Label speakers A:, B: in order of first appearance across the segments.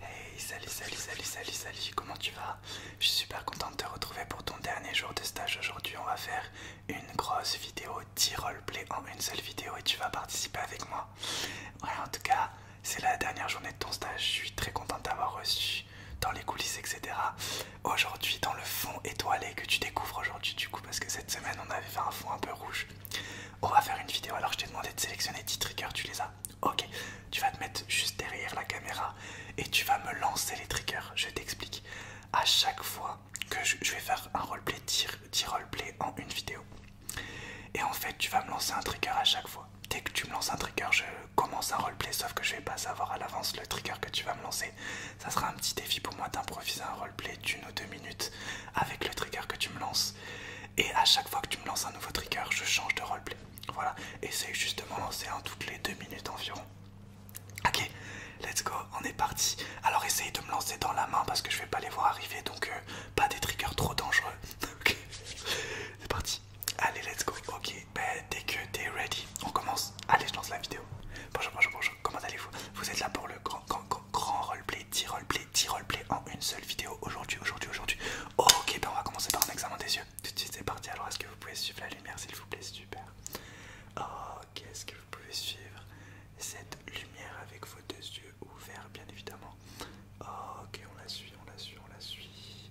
A: Hey, salut, salut, salut, salut, salut, comment tu vas Je suis super contente de te retrouver pour ton dernier jour de stage. Aujourd'hui, on va faire une grosse vidéo 10 Play en une seule vidéo et tu vas participer avec moi. Ouais, en tout cas, c'est la dernière journée de ton stage. Je suis très contente d'avoir reçu dans les coulisses, etc. Aujourd'hui, dans le fond étoilé que tu découvres aujourd'hui, du coup, parce que cette semaine, on avait fait un fond un peu rouge. On va faire une vidéo, alors je t'ai demandé de sélectionner 10 triggers, tu les as Ok, tu vas te mettre juste derrière la caméra et tu vas me lancer les triggers. Je t'explique. À chaque fois que je, vais faire un roleplay, 10 play en une vidéo. Et en fait, tu vas me lancer un trigger à chaque fois. Dès que tu me lances un trigger, je commence un roleplay, sauf que je vais pas savoir à l'avance le trigger que tu vas me lancer. Ça sera un petit défi pour moi d'improviser un roleplay d'une ou deux minutes avec le trigger que tu me lances. Et à chaque fois que tu me lances un nouveau trigger, je change de roleplay. Voilà, essaye juste de m'en lancer un toutes les deux minutes environ. Ok, let's go, on est parti. Alors essaye de me lancer dans la main parce que je vais pas les voir arriver, donc euh, pas des triggers trop dangereux. ok, c'est parti. Allez, let's go. Ok, ben, dès que t'es ready, on commence. Allez, je lance la vidéo. Bonjour, bonjour, bonjour. Comment allez-vous Vous êtes là pour le grand, grand, grand roleplay, 10 roleplay, 10 roleplay en une seule vidéo aujourd'hui, aujourd'hui, aujourd'hui. Ok, ben on va commencer par un examen des yeux. Tout de suite, c'est parti. Alors, est-ce que vous pouvez suivre la lumière, s'il vous plaît Super. Ok, est-ce que vous pouvez suivre cette lumière avec vos deux yeux ouverts, bien évidemment Ok, on la suit, on la suit, on la suit.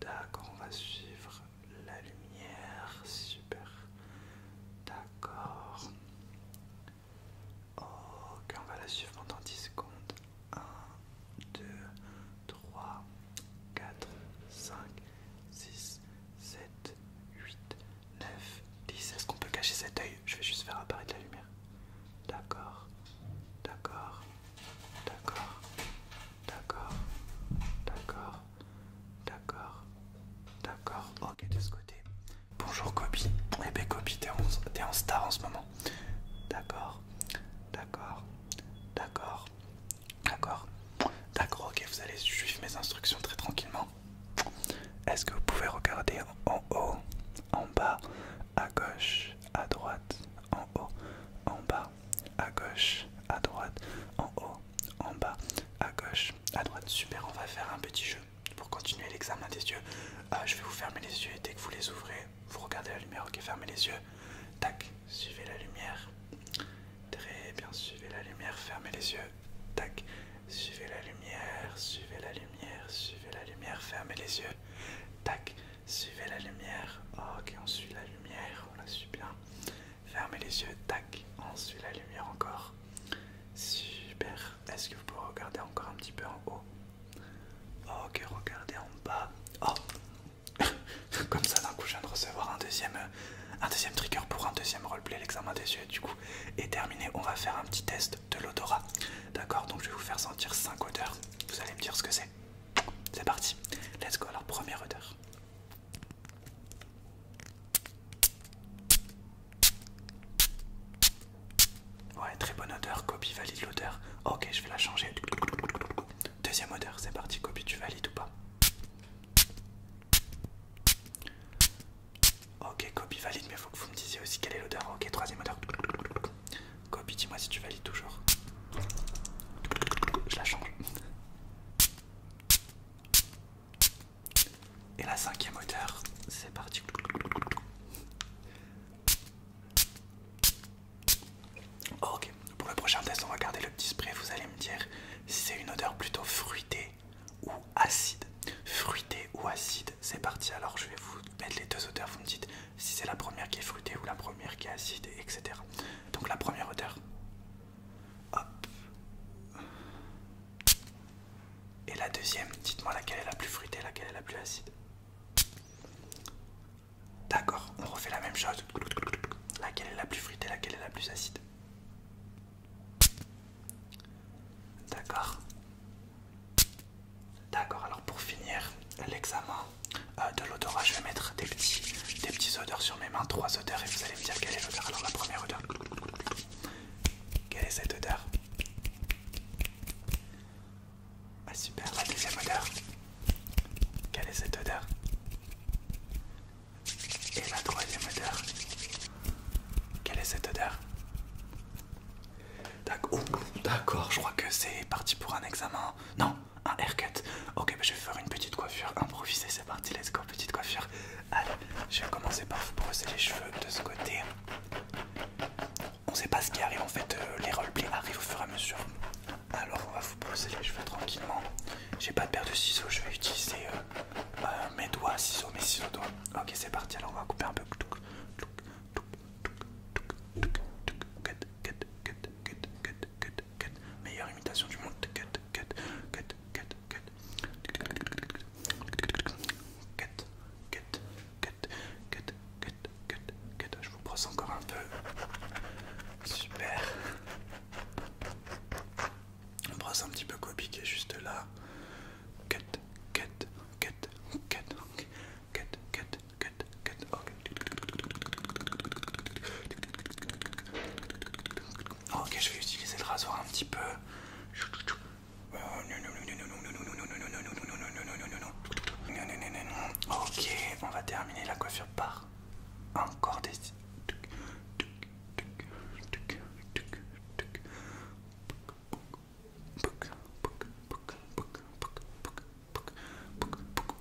A: D'accord, on va suivre la lumière. Super. D'accord. Ok, on va la suivre pendant 10 secondes. 1, 2, 3, 4, 5, 6, 7, 8, 9, 10. Est-ce qu'on peut cacher cet œil Je vais juste faire apparaître la lumière. D'accord, d'accord, d'accord, d'accord, d'accord, d'accord, d'accord. Ok, de ce côté. Bonjour copie Eh bien Kobe, t'es en star en ce moment. D'accord, d'accord, d'accord, d'accord. D'accord, ok, vous allez suivre mes instructions très tranquillement. Est-ce que vous pouvez regarder en haut, en bas, à gauche, à droite, en haut, en bas, à gauche, à droite, en haut, en bas, à gauche, à droite. Super, on va faire un petit jeu pour continuer l'examen des yeux, euh, je vais vous fermer les yeux et dès que vous les ouvrez, vous regardez la lumière, ok, fermez les yeux, tac, suivez la lumière, très bien, suivez la lumière, fermez les yeux, tac, suivez la lumière, suivez la lumière, suivez la lumière, fermez les yeux, tac, suivez la lumière, ok, on suit la lumière, on la suit bien, fermez les yeux, tac, on suit la lumière encore, super, est-ce que vous pouvez regarder encore un petit peu en haut Ok, oh, regardez en bas. Oh Comme ça, d'un coup, je viens de recevoir un deuxième, euh, un deuxième trigger pour un deuxième roleplay. L'examen des yeux, du coup, est terminé. On va faire un petit test de l'odorat. D'accord Donc, je vais vous faire sentir 5 odeurs. Vous allez me dire ce que c'est. C'est parti. Let's go. Alors, première odeur. Ouais, très bonne odeur, copie valide l'odeur. Ok, je vais la changer. Deuxième odeur, c'est parti, copie, tu valides ou pas Ok, copie valide, mais faut que vous me disiez aussi quelle est l'odeur. Ok, troisième odeur. Copie, dis-moi si tu valides toujours. Je la change. Et la cinquième odeur, c'est parti. Ok, pour le prochain test, on va garder le petit spray. Vous allez me dire si c'est une odeur plutôt fruitée ou acide. Fruitée ou acide, c'est parti. Alors je vais vous mettre les deux odeurs. Vous me dites si c'est la première qui est fruitée ou la première qui est acide, etc. Donc la première odeur. Hop. Et la deuxième, dites-moi laquelle est la plus fruitée, laquelle est la plus acide. D'accord, on refait la même chose. Laquelle est la plus fruitée, laquelle est la plus acide. D'accord. D'accord, alors pour finir l'examen euh, de l'odorat, je vais mettre des petits, des petits odeurs sur mes mains, trois odeurs, et vous allez me dire quelle est l'odeur. Alors la première odeur, quelle est cette odeur Ah super, la deuxième odeur. Quelle est cette odeur Et la troisième odeur. Quelle est cette odeur D'accord, je crois que c'est parti pour un examen. Non, un haircut. Ok, bah, je vais faire une petite coiffure improvisée. C'est parti, let's go, petite coiffure. Allez, je vais commencer par vous brosser les cheveux de ce côté. On sait pas ce qui arrive en fait, euh, les roleplays arrivent au fur et à mesure. Alors on va vous brosser les cheveux tranquillement. J'ai pas de paire de ciseaux, je vais utiliser euh, euh, mes doigts, ciseaux, mes ciseaux doigts. Ok c'est parti, alors on va couper un peu. Meilleure imitation du monde get, Je vous brosse encore un peu. Super. On brosse un petit peu copiqué juste là. Cut, get, ah, ok, je vais utiliser le rasoir un petit peu. Ok, on va terminer la coiffure par encore des.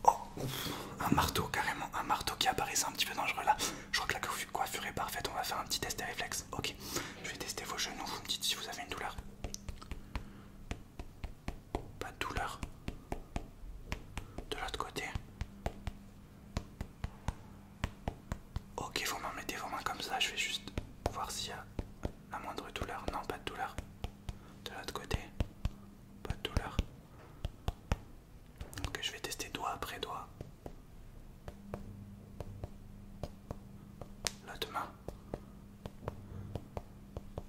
A: Oh, un marteau carrément, un marteau qui apparaissait un petit peu dangereux là. Je crois que la coiffure est parfaite. On va faire un petit test des réflexe. Ok, je vais tester vos genoux. Vous me dites si vous avez une douleur. Pas de douleur. De l'autre côté. Ok, vous m'en mettez vos mains comme ça. Je vais juste voir s'il y a la moindre douleur. Non, pas de douleur. De l'autre côté. Pas de douleur. Ok, je vais tester doigt après doigt. L'autre main.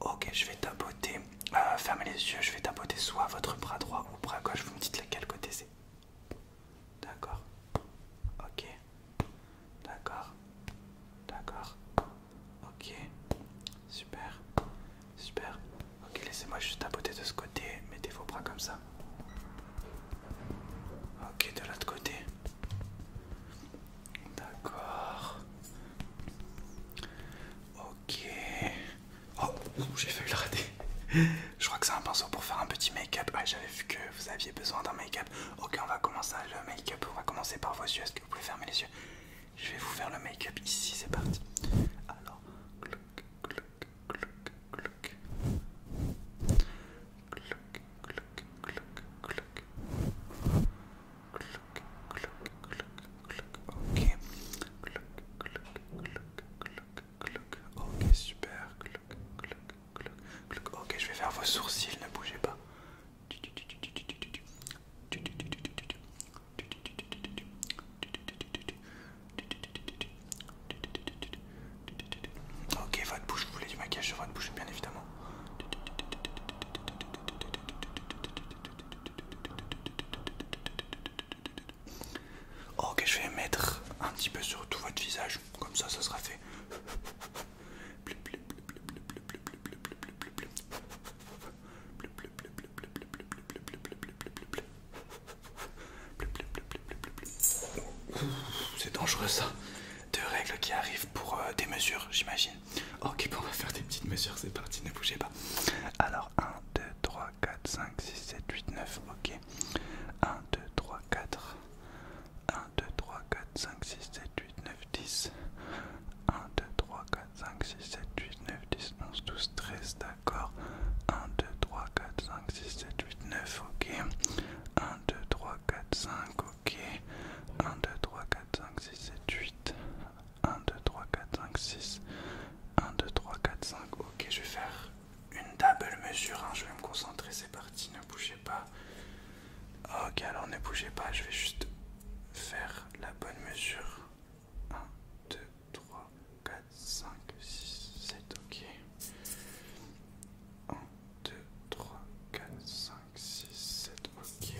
A: Ok, je vais tapoter. Euh, fermez les yeux, je vais tapoter soit votre bras droit ou bras gauche. Vous me dites lequel côté c'est. D'accord. Ok. D'accord. D'accord. Ok. Super. Super. Ok, laissez-moi juste tapoter de ce côté, mettez vos bras comme ça. Ok, de l'autre côté. D'accord. Ok. Oh, j'ai failli le rater. Je crois que c'est un pinceau pour faire un petit make-up. Ah j'avais vu que vous aviez besoin d'un make-up. Ok, on va commencer le make-up. On va commencer par vos yeux. Est-ce que vous pouvez fermer les yeux Je vais vous faire le make-up ici. C'est parti. Alors, cloc. Ok. Ok, super. Ok, je vais faire vos sourcils, ne bougez pas. Ok, votre bouche, vous voulez du maquillage sur votre bouche, bien évidemment. Ok, je vais mettre un petit peu sur tout votre visage, comme ça, ça sera fait. C'est dangereux ça. Deux règles qui arrivent pour euh, des mesures, j'imagine. Ok, on va faire des petites mesures, c'est parti, ne bougez pas. Alors, 1, 2, 3, 4, 5, 6, 7, 8, 9, ok. 1, 2, 3, 4. 1, 2, 3, 4, 5, 6, 7, 8, 9, 10. 1, 2, 3, 4, 5, 6, 7, 8, 9, 10, 11, 12, 13 d'accord 1, 2, 3, 4, 5, 6, 7, 8, 9, ok 1, 2, 3, 4, 5, ok 1, 2, 3, 4, 5, 6, 7, 8 1, 2, 3, 4, 5, 6 1, 2, 3, 4, 5, ok je vais faire une double mesure, hein. je vais me concentrer, c'est parti, ne bougez pas Ok alors ne bougez pas, je vais juste faire la bonne mesure 1, 2, 3, 4, 5, 6, 7, ok. 1, 2, 3, 4, 5, 6, 7, ok.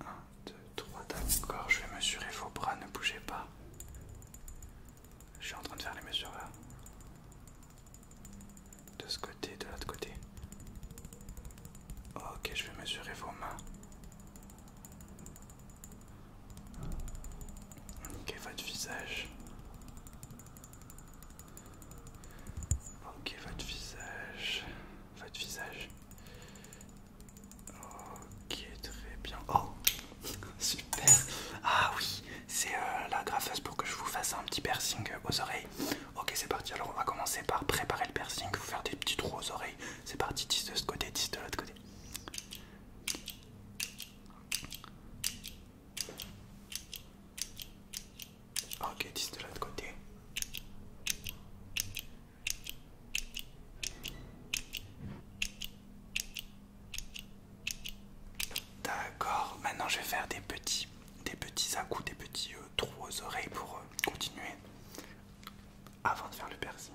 A: 1, 2, 3, d'accord, je vais mesurer vos bras, ne bougez pas. Je suis en train de faire les mesures là. De ce côté, de l'autre côté. Ok, je vais mesurer vos mains. Ok, votre visage. Ok, votre visage. Votre visage. Ok, très bien. Oh, super. Ah oui, c'est euh, la graffeuse pour que je vous fasse un petit piercing aux oreilles. Ok, c'est parti. Alors, on va commencer par préparer le piercing, vous faire des petits trous aux oreilles. C'est parti, 10 de ce côté, 10 de l'autre côté. Ah, ok, 10 de l'autre côté. D'accord, maintenant je vais faire des petits des petits à coups, des petits euh, trous aux oreilles pour euh, continuer avant de faire le piercing.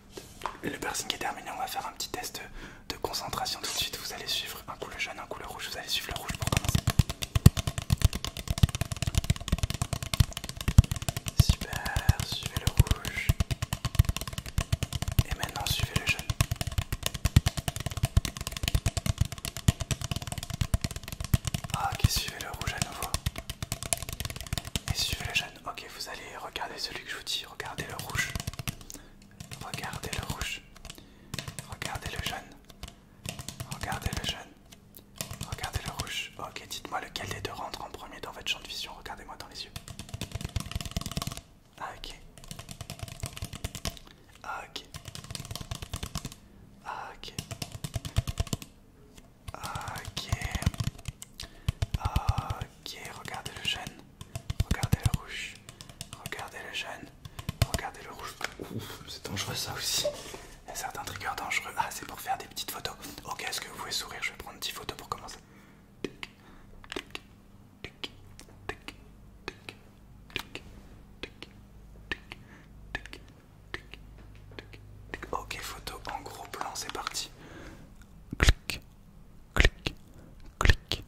A: le bursting est terminé, on va faire un petit test de concentration tout de suite. Vous allez suivre un coup le jaune, un coup le rouge. Vous allez suivre le rouge pour commencer. Super, suivez le rouge. Et maintenant suivez le jaune. Ok, suivez le rouge à nouveau. Et suivez le jeune. Ok, vous allez regarder celui que je vous dis. Regardez le rouge. Regardez le rouge. Regardez le jeune. Regardez le jeune. Regardez le rouge. Ok, dites-moi lequel des deux rentre en premier dans votre champ de vision. Regardez-moi dans les yeux. Ah, ok. Ah, ok. Ah, ok. Ok. Ok, regardez le jeune, Regardez le rouge. Regardez le jeune, Regardez le rouge. c'est dangereux ça aussi. Il y a certains triggers dangereux. Ah, c'est pour faire des petites photos. Ok, est-ce que vous pouvez sourire Je vais prendre 10 photos pour commencer. Ok, photo en gros plan, c'est parti clic, clic, clic, clic,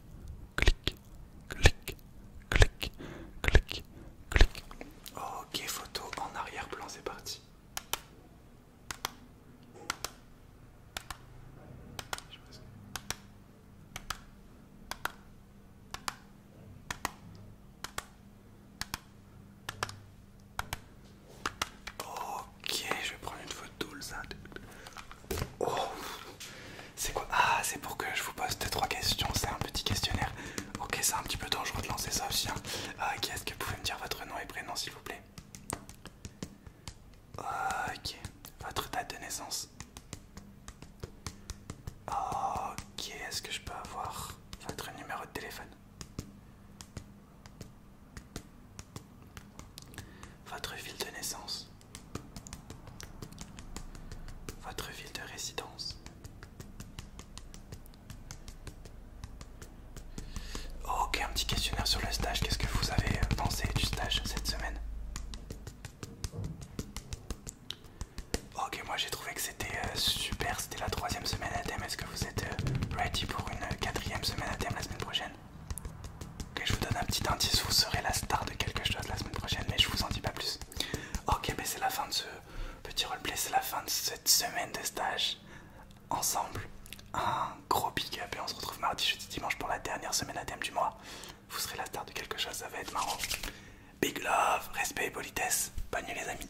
A: clic, clic, clic, clic. Ok, photo en arrière-plan, c'est parti. Ok, je vais prendre une photo oh, c'est quoi Ah, c'est pour que je vous pose trois questions. C'est un petit questionnaire. Ok, c'est un petit peu dangereux de lancer ça aussi. Hein. ok, est-ce que vous pouvez me dire votre nom et prénom s'il vous plaît Ok, votre date de naissance. Ok, est-ce que je peux avoir votre numéro de téléphone votre ville de naissance. Votre ville de résidence. Ok, un petit questionnaire sur le stage. Qu'est-ce que vous avez pensé du stage cette semaine Ok, moi j'ai trouvé que c'était euh, super c'était la troisième semaine à thème. Est-ce que vous êtes euh, ready pour une euh, quatrième semaine à thème la semaine prochaine Ok, je vous donne un petit indice, vous serez la star de quelque chose la semaine prochaine, mais je ne vous en dis pas plus. Ok, mais c'est la fin de ce petit roleplay, c'est la fin de cette semaine de stage ensemble. Un gros big up et on se retrouve mardi, jeudi, dimanche pour la dernière semaine à thème du mois. Vous serez la star de quelque chose, ça va être marrant. Big love, respect et politesse. Bonne nuit les amis.